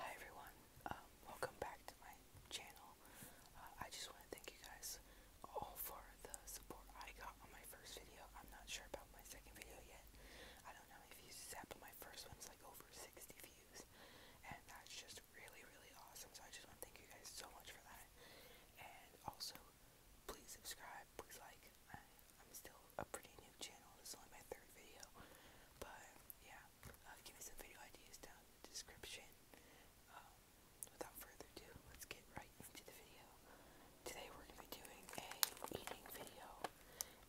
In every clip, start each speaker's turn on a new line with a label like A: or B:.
A: Hi everyone, um, welcome back to my channel. Uh, I just want to thank you guys all for the support I got on my first video. I'm not sure about my second video yet. I don't know if you views it's but my first one's like over 60 views. And that's just really, really awesome. So I just want to thank you guys so much for that. And also, please subscribe, please like. I'm still pretty new channel. This is only my third video, but yeah, give me some video ideas down description. Um, without further ado, let's get right into the video. Today we're gonna be doing a eating video,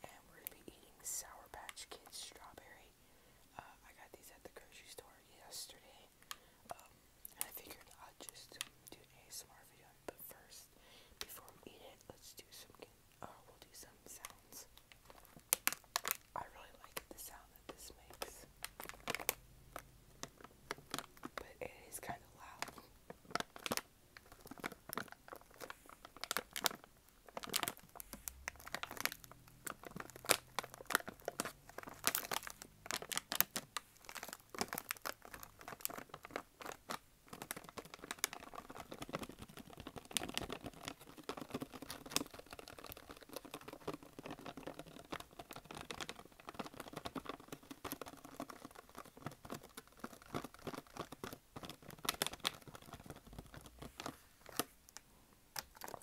A: and we're gonna be eating Sour Patch Kids strawberry. Uh, I got these at the grocery store yesterday, um, and I figured I'll just do a ASMR video. But first, before we eat it, let's do some uh, we'll do some sounds. I really like the sound that this makes, but it is kind of loud.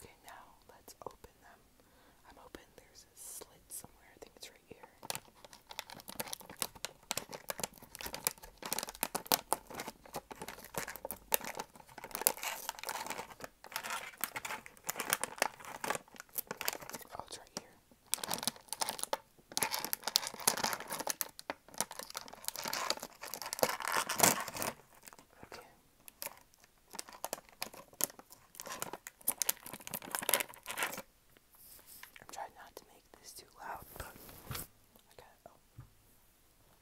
A: Okay, now let's open them. I'm hoping there's a slit somewhere. I think it's right here. Oh, it's right here. Okay. I'm trying not to make this too loud, but I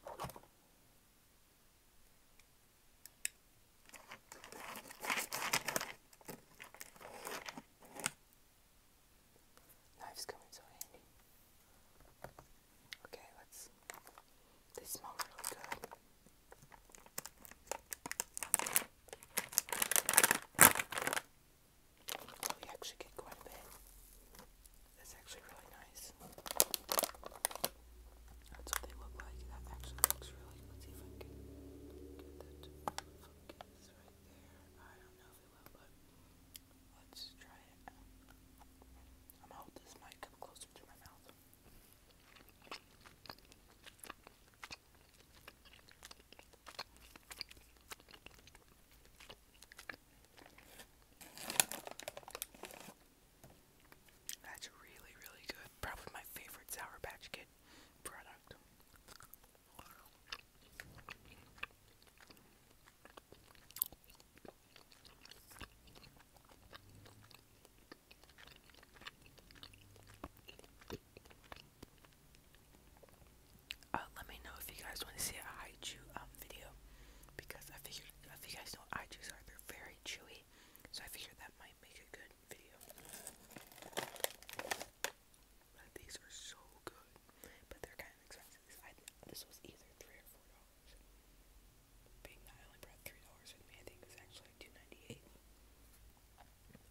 A: Oh. Knife's coming so handy. Okay, let's. They smell really good. We actually get quite a bit. That's actually really nice. That's what they look like. That actually looks really. Let's see if I can get that focus right there. I don't know if it will, but let's try it. I'm gonna hold this mic closer to my mouth. That's really, really good. Probably my favorite Sour Patch Kid product. Uh, let me know if you guys want to see a Haichu um, video because I figured if you guys know what Haichus are, very chewy, so I figured that might make a good video. But these are so good, but they're kind of expensive. this was either three or four dollars. Being that I only three dollars with me, I think it was actually two ninety eight.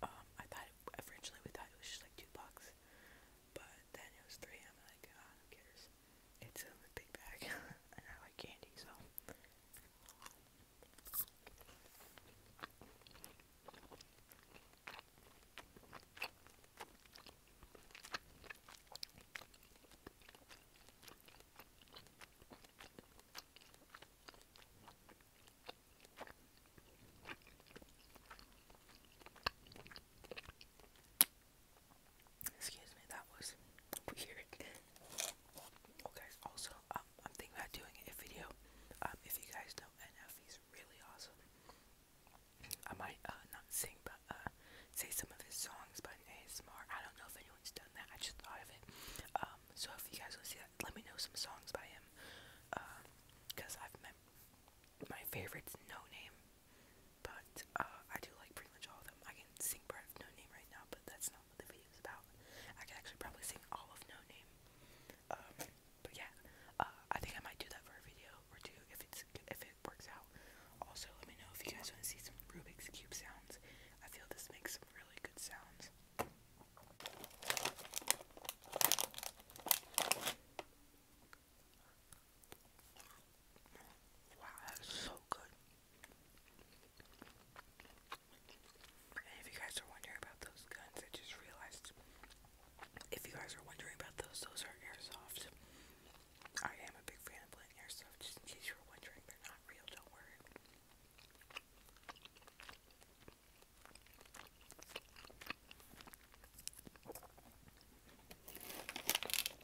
A: Um, I thought thought originally we thought it was just like two bucks, but then it was three. And I'm like, ah, oh, who cares? It's a big bag, and I like candy, so. Excuse me, that was weird. oh guys, also, um, I'm thinking about doing a video. Um, if you guys know NF, he's really awesome. I might uh, not sing, but uh, say some of his songs, but in more. I don't know if anyone's done that. I just thought of it. Um, so if you guys want to see that, let me know some songs by him. Uh, cause I've met my favorite's No Name, but uh, I do like pretty much all of them. I can sing part of No Name right now, but that's not what the video is about. I can actually probably sing all of No Name. Um, but yeah, uh, I think I might do that for a video or two if it's if it works out. Also, let me know if you guys want to see some Rubik's cube sounds. I feel this makes some really good sounds. Wow, that's so good. if you guys are wondering about those guns, I just realized if you guys are wondering about those, those are airsoft. I am a big fan of playing airsoft, just in case you were wondering, they're not real, don't worry.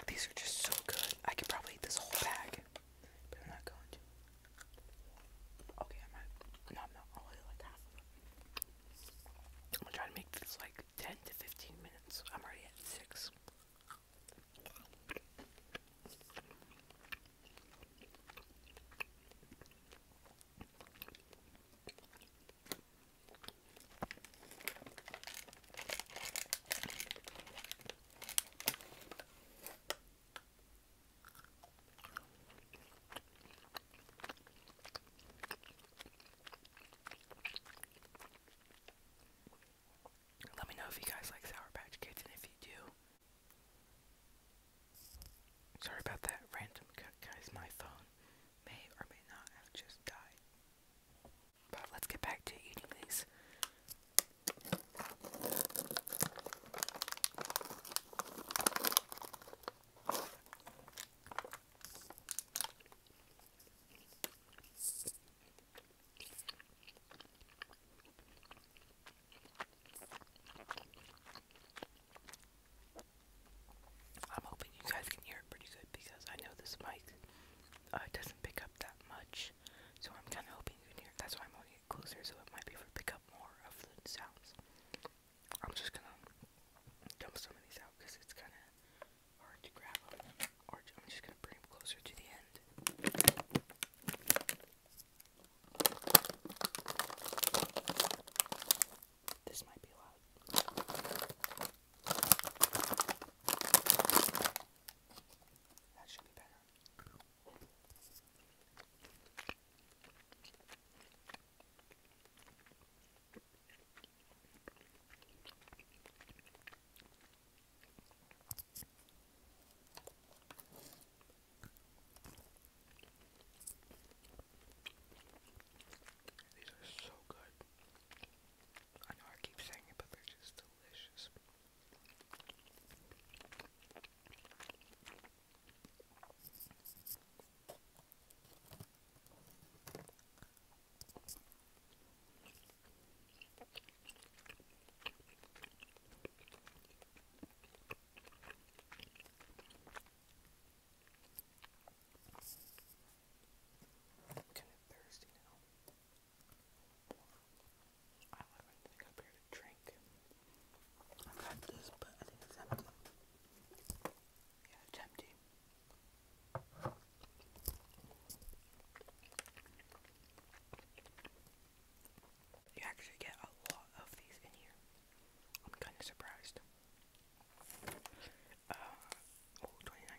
A: These are just so good. I could probably eat this whole bag, but I'm not going to. Okay, I might. No, I'm not. I'll eat like half I'm going to make this like 10 to 15 minutes. I'm already at 6. Let me know if you guys like Sour Patch Kids, and if you do, Sorry about that random cut, guys. My phone may or may not have just died. But let's get back to eating these. I'm hoping you guys can hear it pretty good because I know this mic uh, doesn't pick up that much. So I'm kind of hoping you can hear That's why I'm holding it closer so it might be able to pick up more of the sounds. I'm just gonna dump some of these out because it's kind of hard to grab them. I'm just gonna bring them closer to the end. This might be loud. That should be better. These are so good. I know I keep saying it, but they're just delicious. I'm kind of thirsty now. I don't even think I'm here to drink. I've had this, but I think it's empty. Yeah, it's empty. You actually get a lot of these in here. I'm kind of surprised. Uh,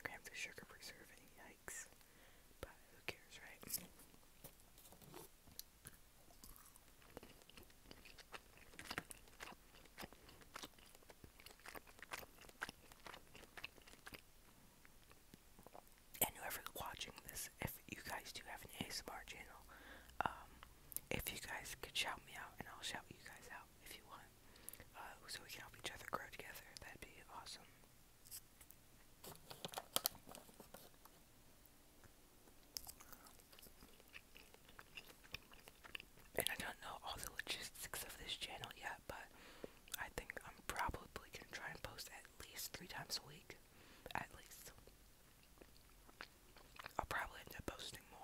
A: grams of sugar preserving, yikes. But who cares, right? and whoever's watching this, if you guys do have an ASMR channel, um, if you guys could shout me out, and I'll shout you guys out if you want, uh, so we can help each other grow together, that'd be awesome. And I don't know all the logistics of this channel yet, but I think I'm probably gonna try and post at at least three times a week. At least. I'll probably end up posting more.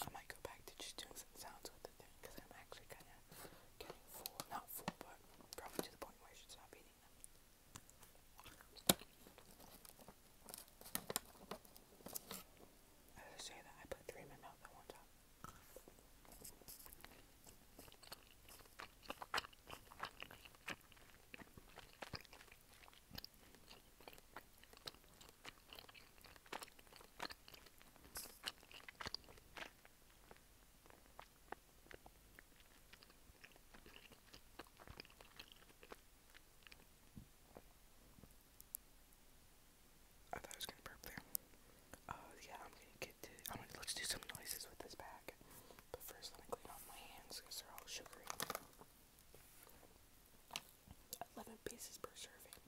A: I might go back to just doing some sounds with the thing because I'm actually kind of getting full. Not full, but probably to the point where I should stop eating them. say that, I put three in my mouth at one time. I thought I was gonna burp there. Uh, yeah, I'm gonna get to. I'm gonna let's do some noises with this bag. But first, let me clean off my hands because they're all sugary. 11 pieces per serving.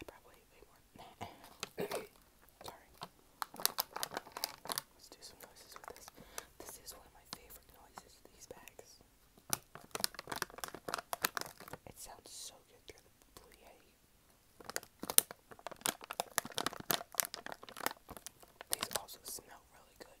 A: I probably eat more. Sorry. Let's do some noises with this. This is one of my favorite noises, these bags. It sounds so good through the Blue Yeti. These also smell really good.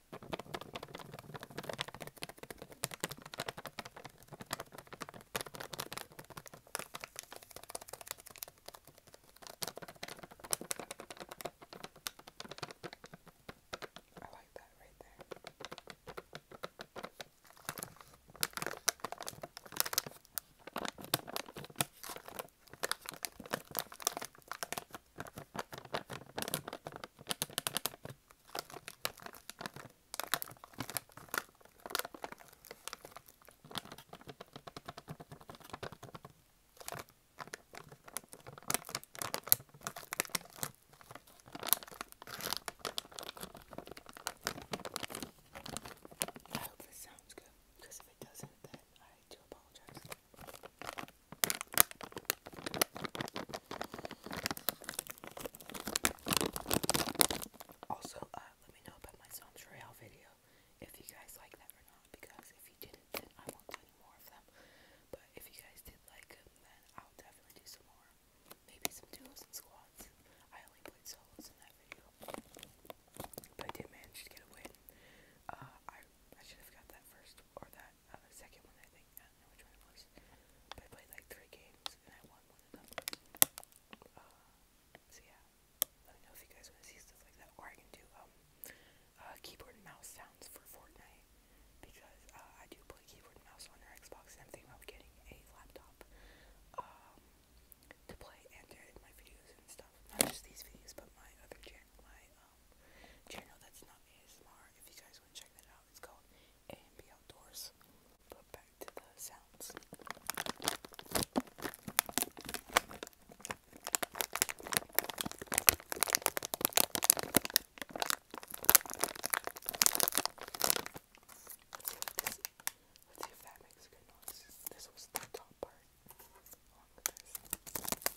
A: I like that right there. I hope this sounds good because if it doesn't, then I do apologize. Also, uh, let me know about my Sound Royale video if you guys like that or not. Because if you didn't, then I won't do any more of them. But if you guys did like them, then I'll definitely do some more. Maybe some duos and squads. I only played solos in that video, but did manage to get a win. Uh, I I should have got that first or that uh, the second one I think, I don't know which one it was, but I played like three games and I won one of them, uh, so yeah, let me know if you guys want to see stuff like that, or I can do, um, uh, keyboard and mouse sounds for Fortnite, because, uh, I do play keyboard and mouse on our Xbox, and I'm thinking about getting a laptop, um, to play and to edit my videos and stuff, not just these videos, but my other channel, my, um, um, channel that's not ASMR. If you guys want to check that out, it's called and AMB Outdoors. But back to the sounds. Let's see, if that makes a good noise. This was the top part oh,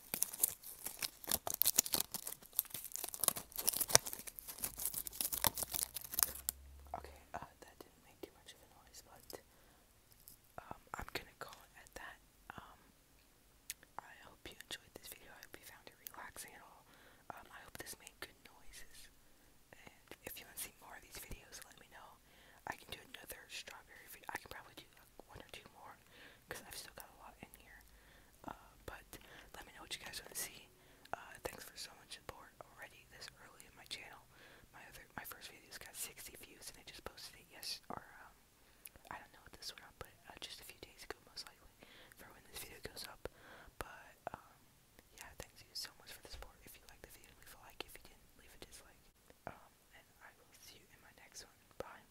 A: Okay, uh, that didn't make too much of a noise, but um, I'm gonna call it at that. Um, I hope you enjoyed this video. I hope you found it relaxing at all. Um, I hope this made good noises. And if you want to see more of these videos, let me know. I can do another strawberry video. I can probably do like one or two more because I've still got a lot in here. Uh, but let me know what you guys want to see. Uh, thanks for so much support already this early in my channel. My other, my first video's got 60 views, and I just posted it yes or um, I don't know what this one up, but uh, just a few days ago, most likely, for when this video goes up. But um, yeah, thanks you so much for the support. If you liked the video, leave a like. If you didn't, leave a dislike. Um, and I will see you in my next one. Bye.